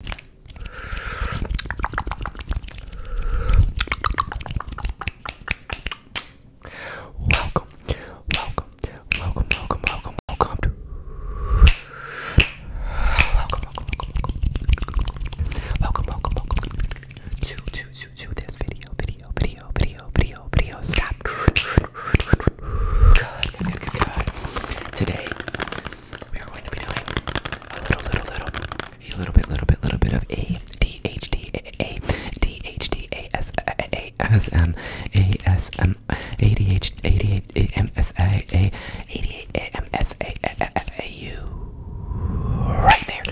Welcome, welcome, welcome, welcome, welcome, welcome to welcome, welcome, welcome, welcome, welcome, welcome to to to to this video, video, video, video, video, video. Stop. Good, good, good, good, good. Today we are going to be doing a little, little, little, a little bit, little bit, little bit of a D H D A D H D A S A S M A S M A D H A D A M S A A A D A M S A A U right there.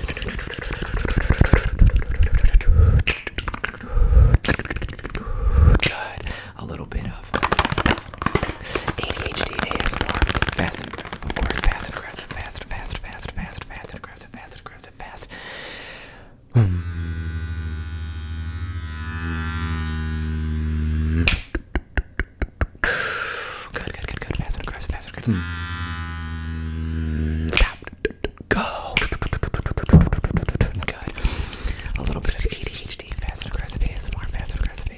Good. A little bit of of ADHD and ASMR. Fast and aggressive, of course. Fast and aggressive, fast, fast, fast, fast, fast and aggressive, fast and aggressive, fast. Good, good, good, good. Fast and aggressive, fast and aggressive. Hmm. Stop. Go. Good. A little bit of ADHD, fast and aggressive ASMR, fast and aggressive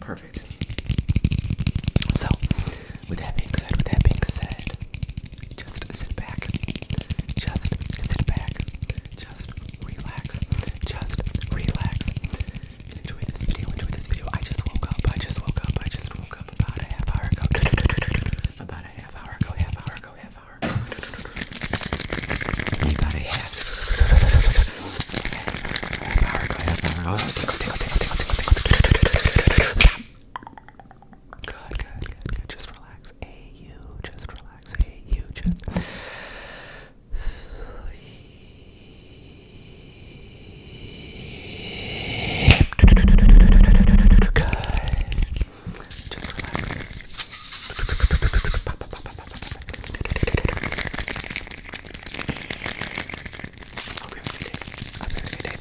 Perfect. So, with that being said, with that being said, just sit back. Just sit back. Just relax. Just relax. enjoy this video. Enjoy this video. I just woke up. I just woke up. I just woke up about a half hour ago. About a half hour ago. Half hour ago. Half hour. About a half. Good, good, good, good. Just relax. Hey, you. Just relax. Hey, you. Just sleep. Good. Just relax. Hope you having a good day. Hope you having a good day.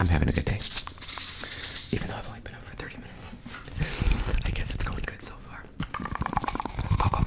I'm having a good day. Even though I've only been up for 30 minutes. I guess it's going good so far. Relax.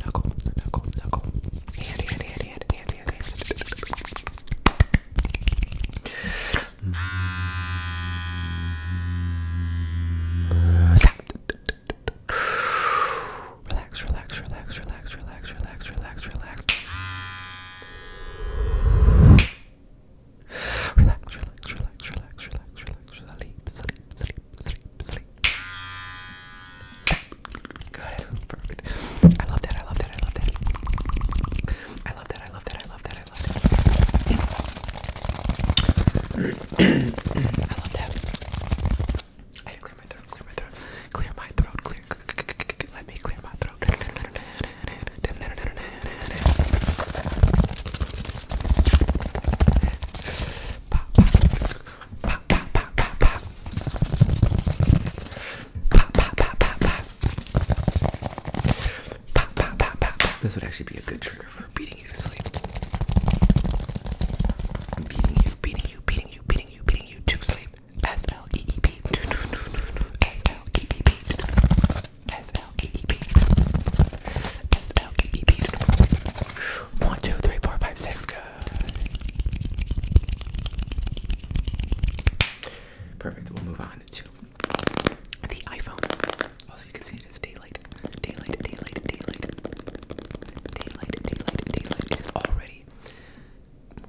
Knuckle, knuckle, knuckle. Hand, hand, hand, hand, hand, hand, hand. Relax, relax, relax, relax, relax, relax, relax, relax. Relax, relax, relax, relax, relax, relax, sleep, sleep, sleep, sleep, sleep, sleep. Good, perfect. I love that, I love that, I love that. I love that, I love that, I love that, I love that. I love that. I had to clear my throat, clear my throat, clear my throat, clear, let me clear my throat. Pop, pop. This would actually be a good trigger for beating you to sleep. Beating you, beating you, beating you, beating you, beating you to sleep. S L E E P. S L E E P. S L E E P. S L E E P. One, two, three, four, five, six. Good. Perfect. We'll move on to the iPhone. Also, you can see it is daylight. Daylight, daylight, daylight. Daylight, daylight, daylight. It is already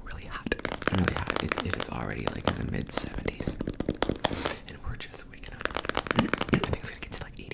really hot. Really mm. hot. it is already like in the mid 70s. And we're just waking up. I think it's gonna get to like 80.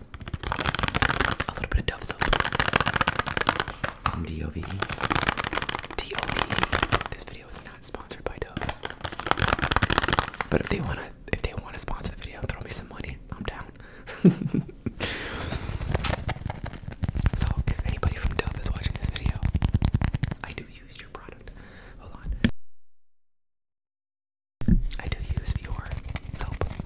a little bit of Dove soap. Dove. Dove. This video is not sponsored by Dove, but if they wanna, if they wanna sponsor the video, throw me some money. I'm down. so if anybody from Dove is watching this video, I do use your product. Hold on. I do use your soap.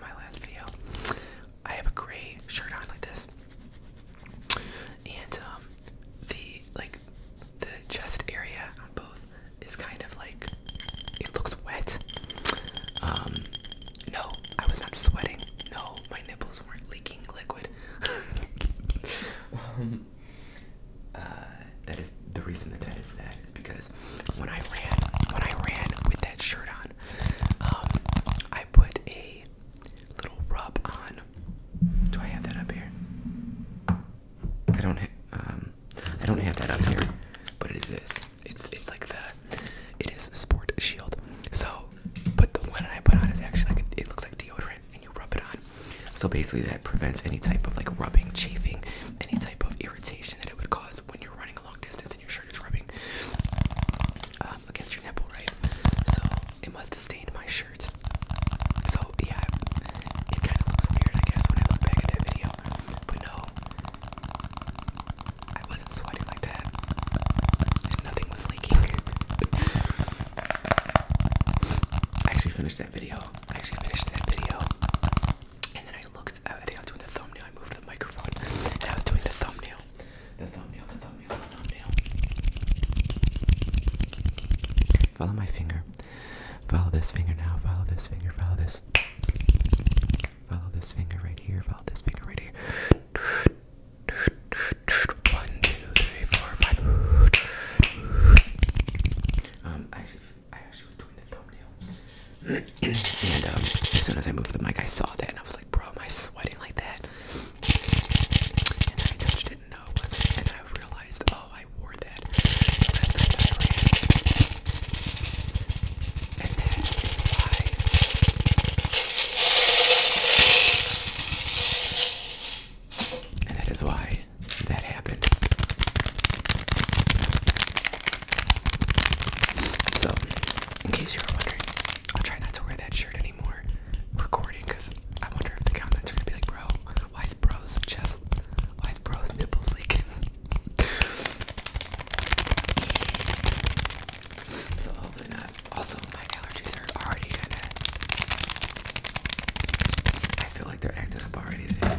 my last video. I have a gray shirt on like this, and um, the like the chest area on both is kind of like it looks wet. Um, no, I was not sweating. No, my nipples weren't leaking liquid. um, uh, that is the reason that that is that because when I ran, when I ran with that shirt on, um, I put a little rub on. Do I have that up here? I don't. Um, I don't have that up here, but it is this. It's it's like the. It is Sport Shield. So, but the one I put on is actually it looks like deodorant, and you rub it on. So basically, that prevents any type of like rubbing, chafing, any type of irritation that it would cause when you're running long distance and your shirt is rubbing um, against your nipple, right? So it must have stained my shirt. So yeah, it kind of looks weird, I guess, when I look back at that video. But no, I wasn't sweating like that, nothing was leaking. I actually finished that video. I actually finished that video. And then I looked, I think I was doing the thumbnail, I moved the microphone, and I was doing the thumbnail. The thumbnail, the thumbnail, the thumbnail. Follow my finger. Follow this finger now, follow this finger, follow this. Follow this finger right here, follow this finger right here. One, two, three, four, five. Um, I and um, as soon as I moved the mic, I saw that and I was like, bro, am I sweating like that? And I touched it and no, it wasn't. And I realized, oh, I wore that And that is why. And that is why that happened. So, in case you are wondering, I'll try not to wear that shirt anymore recording I wonder if the comments are gonna be like, bro, why bro's chest, why bro's nipples leaking? so, hopefully not. Also, my allergies are already kind I feel like they're acting up already today.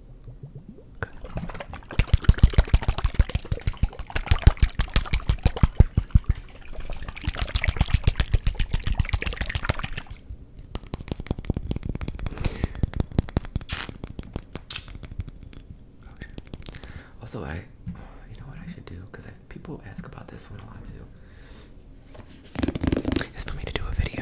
also, I, you know what I should do because people ask about this one a lot too. Is for me to do a video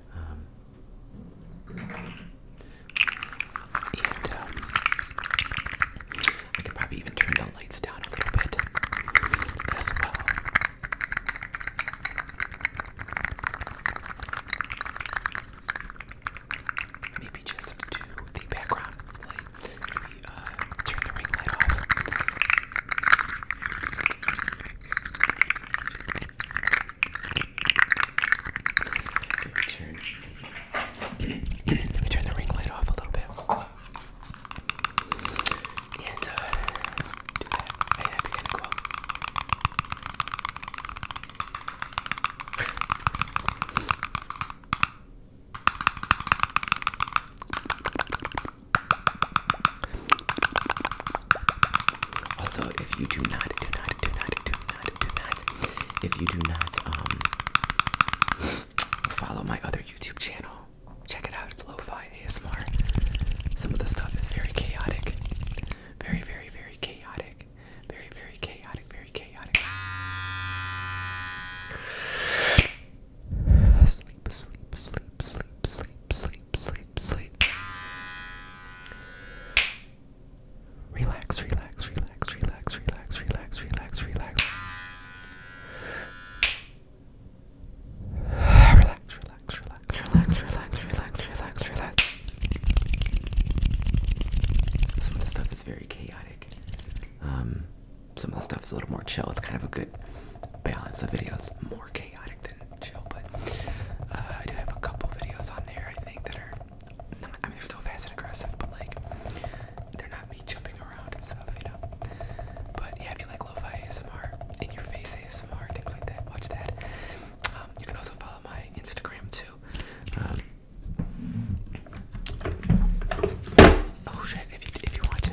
Um, um, I could probably even turn the lights down a little bit as well. Maybe just do the background light. Maybe uh, turn the ring light off. Turn. Let me turn the ring light off a little bit. And uh, do that. And I begin to go up. Also, if you do not, do not, do not, do not, do not, if you do not um, follow my other YouTube channel, check it out. It's Lo-Fi ASMR. Some of the stuff is very chaotic, very, very, very chaotic, very, very chaotic, very chaotic. Sleep, sleep, sleep, sleep, sleep, sleep sleep, sleep, sleep. Relax, relax, relax, relax, relax, relax, relax, relax. Relax, relax, relax, relax, relax, relax, relax, relax. Some of the stuff is very chaotic. Um, some of the stuff is a little more chill. It's kind of a good balance of videos. More chaotic chaotic than chill, but uh, I do have a couple videos on there I think that are not, I mean, they're still fast and aggressive, but like they're not me jumping around and stuff, you know. But yeah, if you like lo-fi ASMR, in your face ASMR, things like that, watch that. Um, you can also follow my Instagram too. Um, oh shit, if you want to.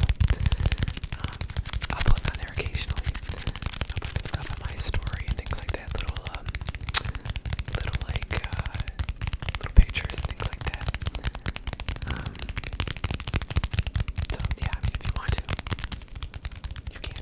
I'll post on there occasionally. I'll put some stuff on my story and things like that. Little, um, little like, uh, little pictures and things like that. Um, yeah, if you want to, you can.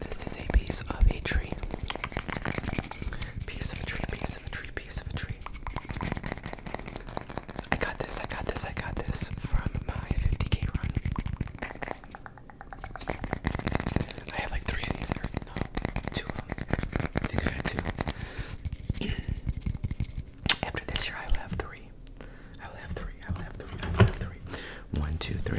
This is a piece of a tree. Piece of a tree, piece of a tree, piece of a tree. I got this, I got this, I got this from my 50k run. I have like three of these No, two of them. I think I had two. After this year, I will have three. I will have three. I will have three. I will have three. One, two, three.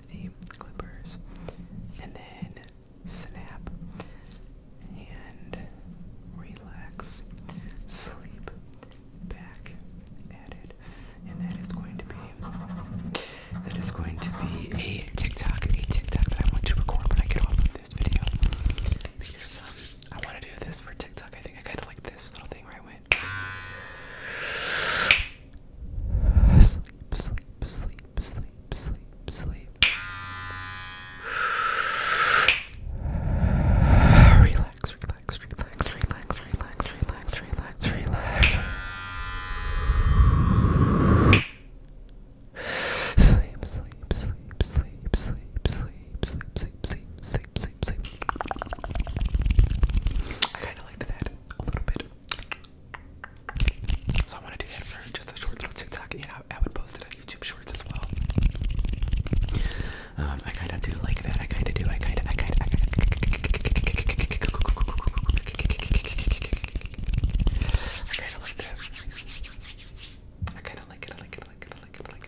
the Clippers. And then snap and relax, sleep, back at And that is going to be that is going to be a TikTok, a TikTok that I want to record when I get off of this video. Um, I want to do this for TikTok. I think I kind of like this little thing right I sleep, sleep, sleep, sleep, sleep, sleep. relax, relax, relax, relax, relax, relax, relax, relax. Sleep, sleep, sleep, sleep, sleep, sleep, sleep, sleep, sleep, sleep, sleep, sleep. I kind of liked that a little bit. So I want to do just a short little TikTok, and I would post it on YouTube Shorts as well. Um, I kind of do like that. I kind of do. I kind of. I kind of. I kind of. I kind of like that. I kind of like it. I like it. I like it. I like it. I like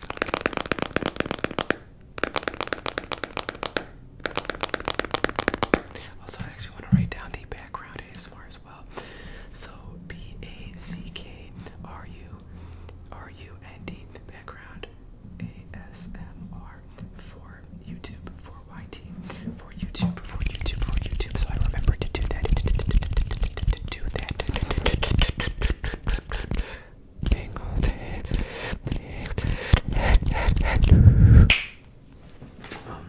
it. Also, I actually want to write down the background ASMR as well. So B A C K R U R U N D background ASMR for YouTube for YT for YouTube for YouTube for YouTube. So I remember to do that. Do that. Bengals head. Head, head, head. Um,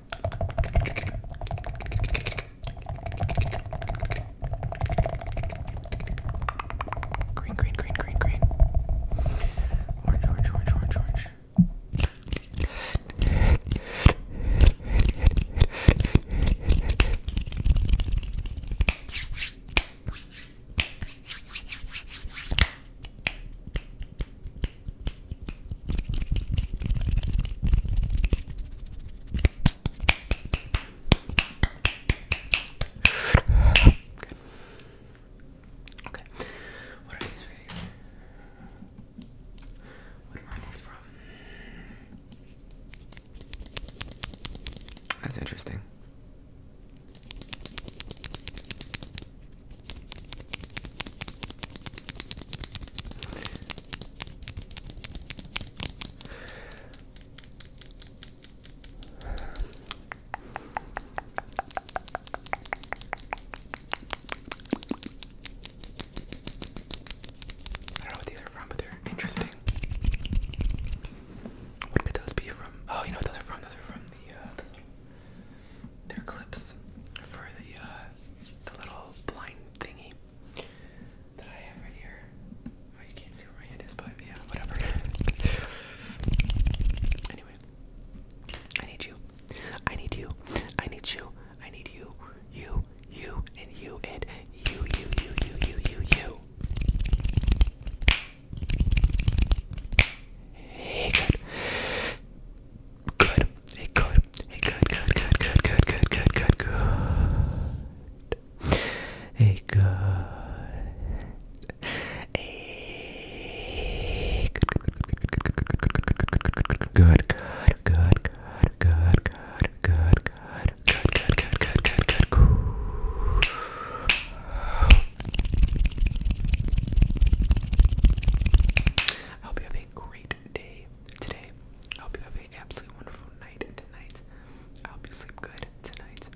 Green, green, green, green, green. Orange, orange, orange, orange, orange. Okay. Okay. What are these videos? What are these from? That's interesting. I don't know what these are from, but they're interesting. What could those be from? Oh, you know what those are from? Those are from the, uh, they're clips for the, uh, the little blind thingy that I have right here. Oh, you can't see where my hand is, but yeah, whatever. anyway, I need you. I need you. I need you. I need you. You, you, and you, and you, you, you, you, you, you, you. Hey, good. Good. Hey, good. Hey, good, good, good, good, good, good, good, good, good. Hey, good. Hey, good, good, good, good, good, good, good, good, good. Good, good, good, good, good, good, cool. I hope you have a great day today. I hope you have an absolutely wonderful night tonight. I hope you sleep good tonight.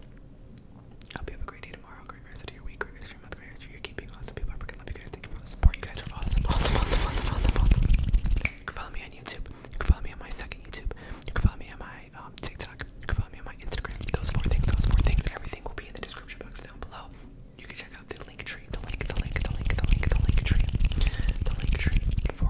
I hope you have a great day tomorrow, great rest of your week, great rest of your month, great rest of your year. Keep being awesome, people. I freaking love you guys. Thank you for the support. You guys are awesome, awesome, awesome, awesome, awesome, You can follow me on YouTube. You can follow me on my second YouTube. You can follow me on my um, TikTok. You can follow me on my Instagram. Those four things, those four things. Everything will be in the description box down below. You can check out the link tree, the link, the link, the link, the link, the link tree, the link tree for